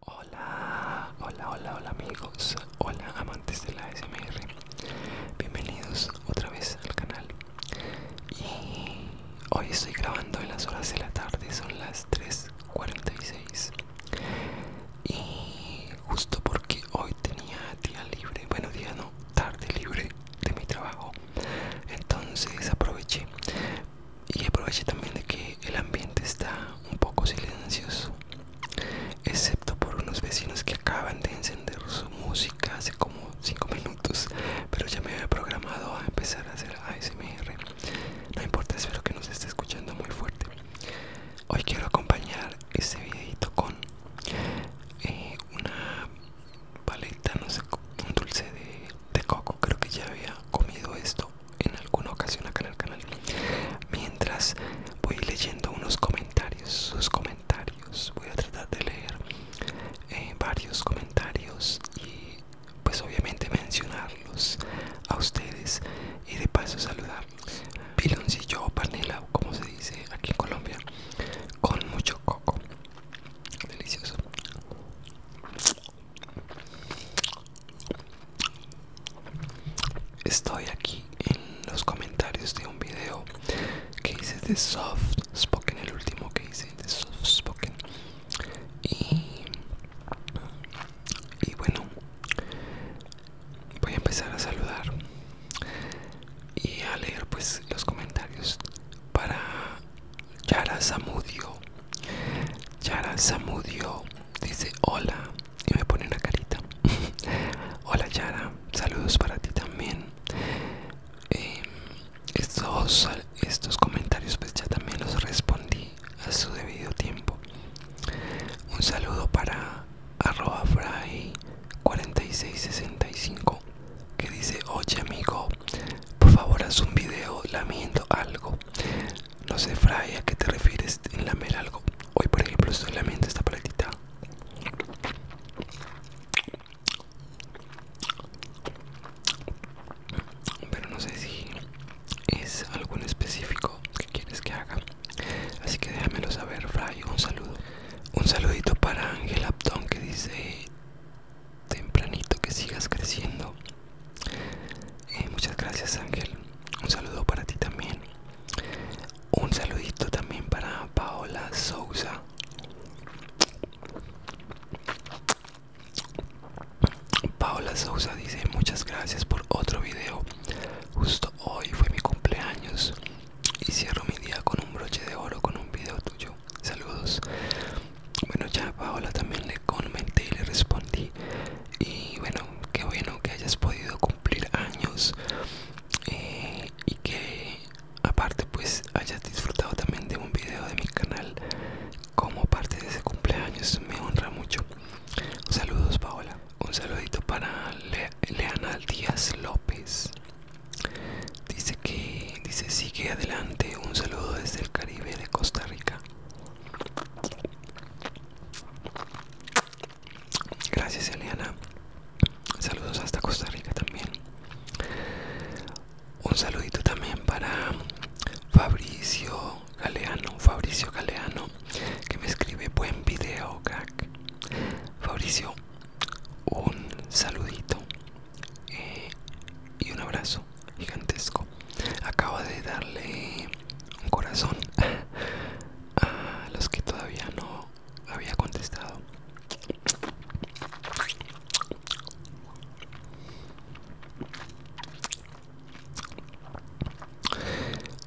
Hola, hola, hola, hola amigos, hola amantes de la SMR, bienvenidos otra vez al canal. Y hoy estoy grabando en las horas de la tarde, son las 3:46. Y justo porque hoy tenía día libre, bueno, día no, tarde libre de mi trabajo, entonces aproveché y aproveché también de que el ambiente está un poco silencioso excepto por unos vecinos que acaban de encender su música hace como 5 minutos pero ya me había programado a empezar a hacer ASMR no importa espero que nos esté escuchando muy fuerte hoy quiero acompañar este videito con eh, una paleta no sé un dulce de de coco creo que ya había comido esto en alguna ocasión acá en el canal mientras voy leyendo unos comentarios sus comentarios voy a tratar de leer eh, varios comentarios y pues obviamente mencionarlos a ustedes y de paso saludar piloncillo o panela como se dice aquí en Colombia con mucho coco delicioso Estoy aquí en los comentarios de un video que hice de Soft Spoken, el último que hice de Soft Spoken. Y, y bueno, voy a empezar a saludar y a leer pues los comentarios para Yara Samudio. Yara Samudio dice hola y me pone una carita. hola Yara, saludos para ti también. Em, estos, estos comentarios pues ya también los respondí a su debido tiempo. Un saludo para ArrobaFry 4665 que dice oye amigo por favor, haz un video lamiendo algo. No sé, Fray, a qué te refieres en lamer algo. Hoy, por ejemplo, estoy lamiendo esta paletita. Pero no sé si es algún específico que quieres que haga. Así que déjamelo saber, Fray. Un saludo. Un saludito para Ángel Aptón que dice: tempranito que sigas creciendo eh, muchas gracias ángel un saludo para ti también un saludito también para paola sousa paola sousa dice muchas gracias por otro video justo hoy fue mi cumpleaños y cierro mi día con un broche de oro con un video tuyo saludos bueno ya Paola también le comenté y le respondí y bueno qué bueno que hayas podido cumplir años eh, y que aparte pues hayas disfrutado también de un video de mi canal como parte de ese cumpleaños me honra mucho saludos Paola un saludito para Leana Díaz López Dice que dice sigue adelante. Un saludo desde el Caribe de Costa Rica. Gracias Eliana. Saludos hasta Costa Rica también. Un saludito también para Fabricio Galeano. Fabricio Galeano que me escribe buen video, Fabricio, un saludito. Eh, y un abrazo gigantesco. Acabo de darle un corazón a los que todavía no había contestado.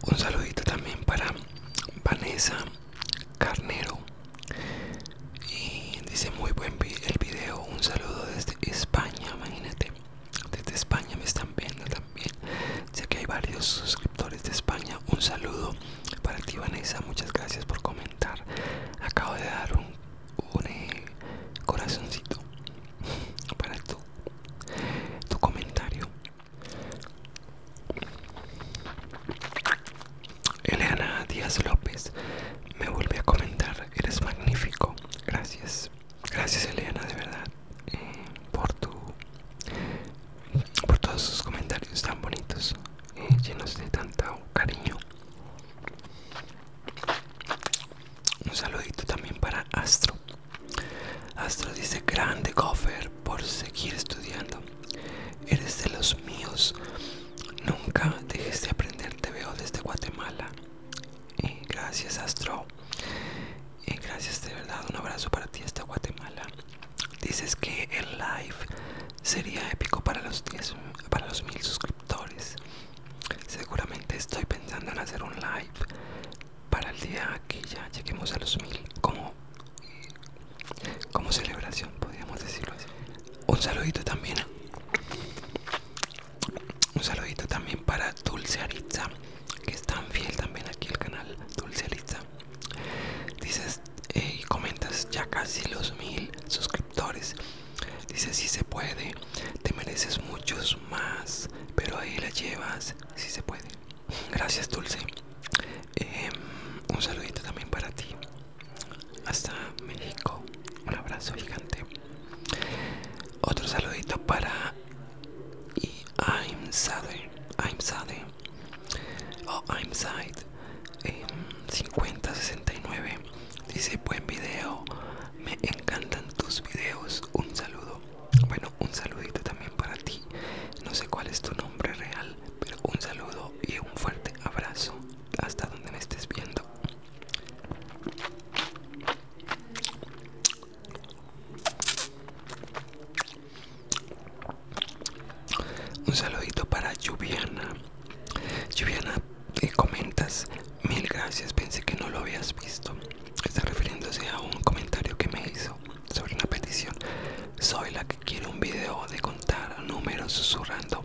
Un saludito también para Vanessa Carnero y dice muy buen el video, un saludo desde España, imagínate. Desde España me están viendo también. Sé que hay varios suscriptores de España. Un saludo para ti, Vanessa. Muchas gracias por comentar. Acabo de dar un, eh, corazoncito para tu, tu comentario. Elena Díaz López me vuelve a comentar, eres magnífico. Gracias, gracias Eliana, de verdad, eh, por tu por todos sus comentarios tan bonitos, eh, llenos de tanto cariño. Un saludito también para Astro. Astro dice grande gofer, por seguir estudiando. Eres de los míos. Nunca dejes de aprender. Te veo desde Guatemala. Y gracias, Astro. y gracias, de verdad. Un abrazo para ti hasta Guatemala. Dices que el live sería épico para los, para los mil suscriptores. Seguramente estoy pensando en hacer un live para el día que ya lleguemos a los mil. Como como celebración, podríamos decirlo así. Un saludito también. Un saludito también para Dulce Aritza, que es tan fiel también aquí al canal. Dulce Aritza. Dices y eh, comentas ya casi los mil suscriptores. Dices si se puede, te mereces muchos más, pero ahí la llevas, si se puede. Gracias Dulce. Em, un saludito también para ti hasta México un abrazo gigante otro saludito para I'm Sade I'm Sade o I'm Side 5069 dice buen video me encantan tus videos un saludo bueno un saludito también para ti no sé cuál es tu nombre real un saludo y un fuerte abrazo hasta donde me estés viendo. Un saludito para Lluviana Lluviana, eh, comentas mil gracias, pensé que no lo habías visto. Está refiriéndose a un comentario que me hizo sobre una petición. Soy la que Quiero un video de contar números susurrando.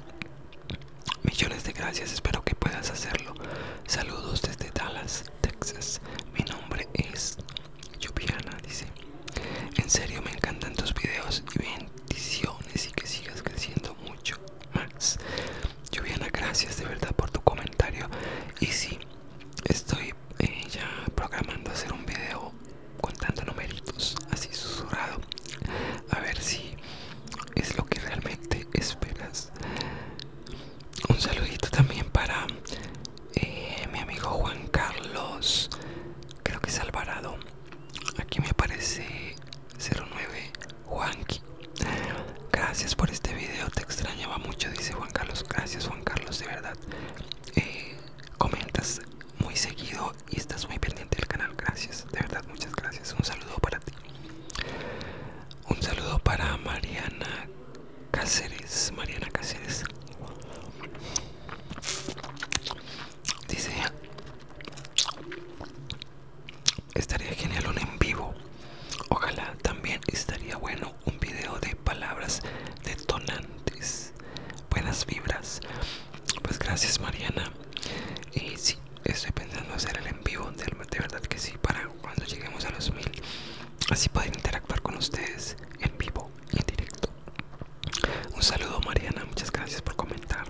Millones de gracias, espero que puedas hacerlo. Saludos desde Dallas, Texas. Mi nombre es Juliana. dice. En serio, me encantan tus videos y bendiciones y que sigas creciendo mucho, Max. Juliana, gracias de verdad por tu comentario. Y sí, estoy eh, ya programando hacer un video contando numeritos así susurrado a ver si es lo que realmente esperas un saludito también para eh, mi amigo Juan Carlos creo que es Alvarado aquí me aparece 09 Juanqui gracias por este video te extrañaba mucho dice Juan Carlos gracias Juan Carlos de verdad eh, comentas muy seguido y estás muy pendiente del canal. Gracias, de verdad, muchas gracias. Un saludo para ti. Un saludo para Mariana Cáceres. Mariana Cáceres dice: Estaría genial un en vivo. Ojalá también estaría bueno un video de palabras detonantes, buenas vibras. Pues gracias, Mariana. Y sí, estoy pensando hacer el en vivo, de, verdad que sí, para cuando lleguemos a los mil, así poder interactuar con ustedes en vivo en directo. Un saludo, Mariana, muchas gracias por comentar.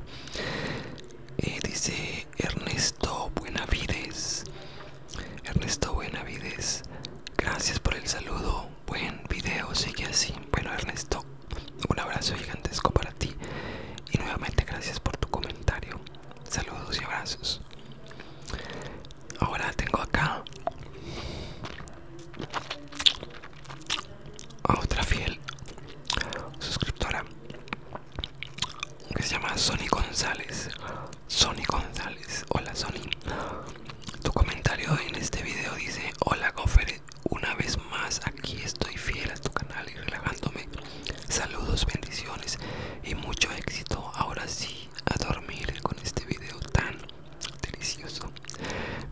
Eh, dice Ernesto Buenavides. Ernesto Buenavides, gracias por el saludo buen video, sigue así. Bueno, Ernesto, un abrazo gigantesco para ti y nuevamente gracias por tu comentario. Saludos y abrazos. Ahora tengo acá otra fiel suscriptora que se llama Sony González. Sony González, hola Sony. Tu comentario en este video dice, hola Gofer, una vez más aquí estoy fiel a tu canal y relajándome. Saludos, bendiciones y mucho éxito. Ahora sí, a dormir con este video tan delicioso.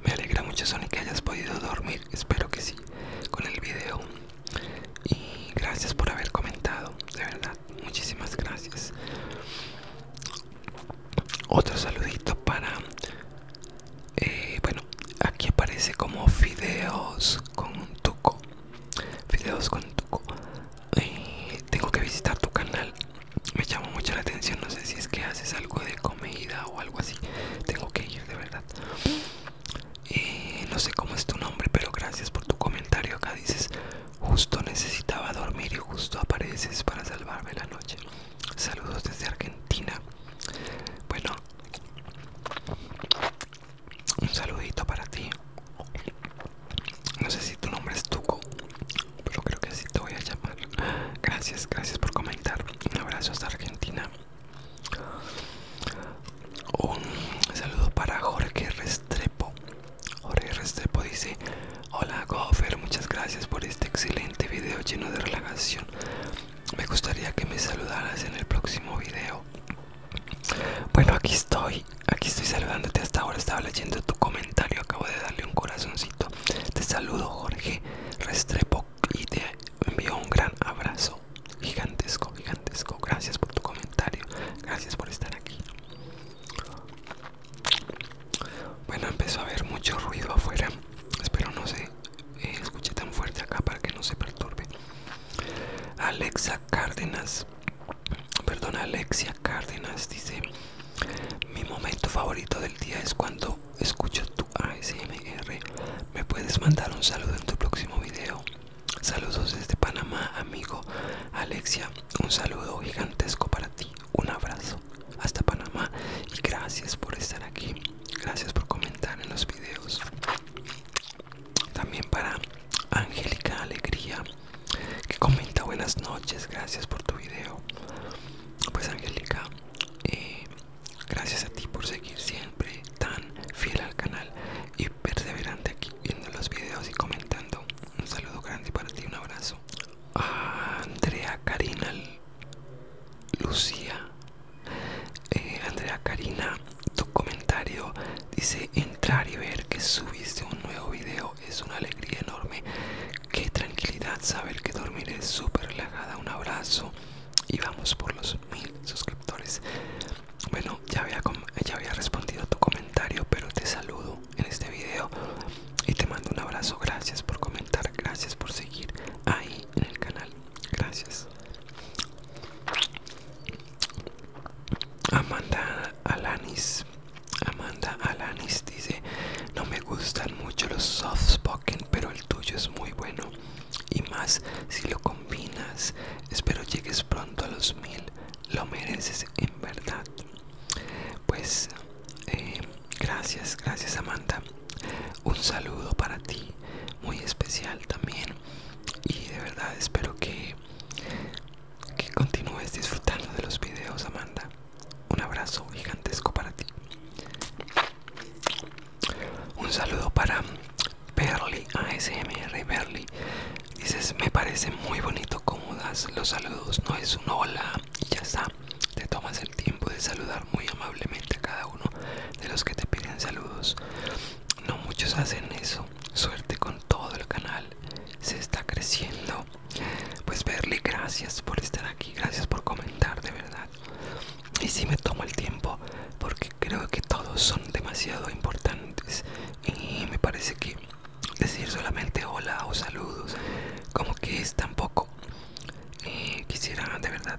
Me alegra mucho Sony que hayas podido dormir, espero que sí, con el video. Y gracias por haber comentado, de verdad, muchísimas gracias. Otro saludito para... Eh, bueno, aquí aparece como fideos con tuco. Fideos con tuco. Eh, tengo que visitar tu canal. Me llama mucho la atención. No sé si es que haces algo de comida o algo así. Tengo que ir, de verdad. Eh, no sé cómo es tu nombre, pero gracias por tu comentario. Acá dices, Justo necesitaba dormir y justo apareces para salvarme la noche. Saludos desde Argentina. Bueno, un saludito para ti. No sé si tu nombre es Tuco, pero creo que así te voy a llamar. Gracias, gracias por comentar. Un abrazo hasta Argentina. Un saludo para Jorge Restrepo. Jorge Restrepo dice Hola Gofer, muchas gracias por este excelente video lleno de relajación Me gustaría que me saludaras en el próximo video Bueno aquí estoy, aquí estoy saludándote hasta ahora Estaba leyendo tu comentario, acabo de darle un corazoncito Te saludo Jorge Restrepo y te envío un gran abrazo Gigantesco, gigantesco Gracias por tu comentario, gracias por estar aquí bueno, empezó a haber mucho ruido afuera. Espero no se eh, escuche tan fuerte acá para que no se perturbe. Alexa Cárdenas, perdón, Alexia Cárdenas dice: Mi momento favorito del día es cuando escucho tu ASMR. Me puedes mandar un saludo en tu próximo video. Saludos desde Panamá, amigo Alexia. Un saludo gigantesco para ti, un abrazo hasta Panamá y gracias por estar aquí, gracias por comentar en los videos. También para Angélica Alegría que comenta buenas noches, gracias por tu video. Pues Angélica, eh, gracias a ti por seguir siempre tan fiel al canal y perseverante aquí viendo los videos y comentando un saludo grande para ti, un abrazo. Andrea Karina Lucía. Eh, Andrea Karina, tu comentario dice entrar y ver que subiste un nuevo video. Es una alegría enorme. Qué tranquilidad saber que dormiré súper relajada. Un abrazo. Y vamos por los mil suscriptores. Bueno, ya había, ya había respondido tu comentario, pero te saludo en este video y te mando un abrazo. Gracias por comentar, gracias por seguir ahí en el canal. Gracias. Amanda Alanis. Amanda Alanis dice, no me gustan mucho los soft spoken, pero el tuyo es muy bueno. Y más si lo combinas. Espero llegues pronto a los mil lo mereces en verdad pues eh, gracias gracias Amanda un saludo para ti muy especial también y de verdad espero que que continúes disfrutando de los videos Amanda un abrazo gigantesco para ti un saludo para Berly ASMR Berly Dices, me parece muy bonito cómo das los saludos, no es un hola y ya está. Te tomas el tiempo de saludar muy amablemente a cada uno de los que te piden saludos. No muchos hacen eso. Suerte con todo el canal. Se está creciendo. Pues verle, gracias por estar aquí, gracias por comentar de verdad. Y si me tomo el tiempo porque creo que todos son demasiado importantes y me parece que decir solamente hola o saludos como que es tampoco poco eh, quisiera de verdad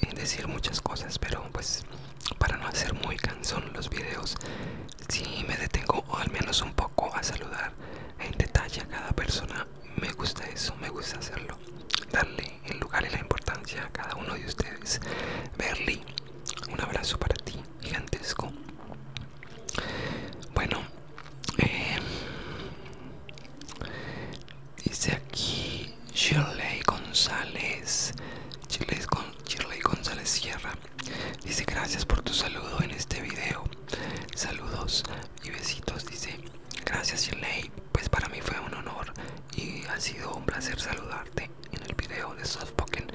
eh, decir muchas cosas pero pues para no hacer muy cansón los videos si me detengo o al menos un poco a saludar en detalle a cada persona me gusta eso me gusta hacerlo darle el lugar y la importancia a cada uno de ustedes Berly un abrazo para ti gigantesco bueno eh, dice aquí Shirley González Shirley, Shirley González Sierra dice gracias por tu saludo en este video saludos y besitos dice gracias Shirley pues para mí fue un honor y ha sido un placer saludarte en el video de Softpoken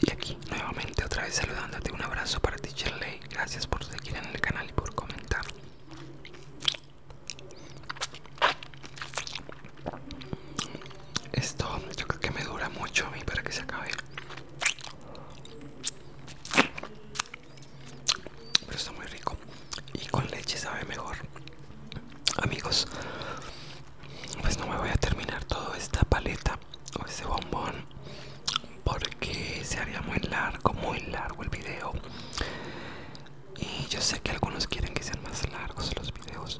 y aquí nuevamente otra vez saludándote un abrazo para ti Lay gracias por seguir en el canal y por comentar esto yo creo que me dura mucho a mí para que se acabe pero está muy rico y con leche sabe mejor amigos pues no me voy a terminar toda esta paleta o ese bombón porque se haría muy largo, muy largo el video. Y yo sé que algunos quieren que sean más largos los videos.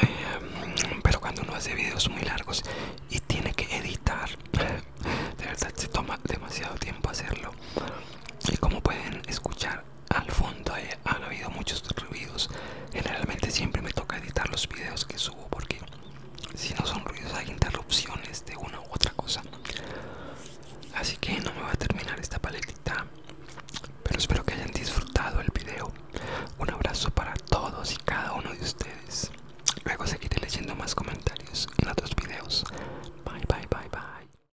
Em, pero cuando uno hace videos muy largos y tiene que editar, de verdad se toma demasiado tiempo hacerlo. Y como pueden escuchar, al fondo eh, han habido muchos ruidos generalmente siempre me toca editar los videos que subo porque si no son ruidos hay interrupciones de una u otra cosa así que no me va a terminar esta paletita pero espero que hayan disfrutado el video un abrazo para todos y cada uno de ustedes luego seguiré leyendo más comentarios en otros videos bye bye bye bye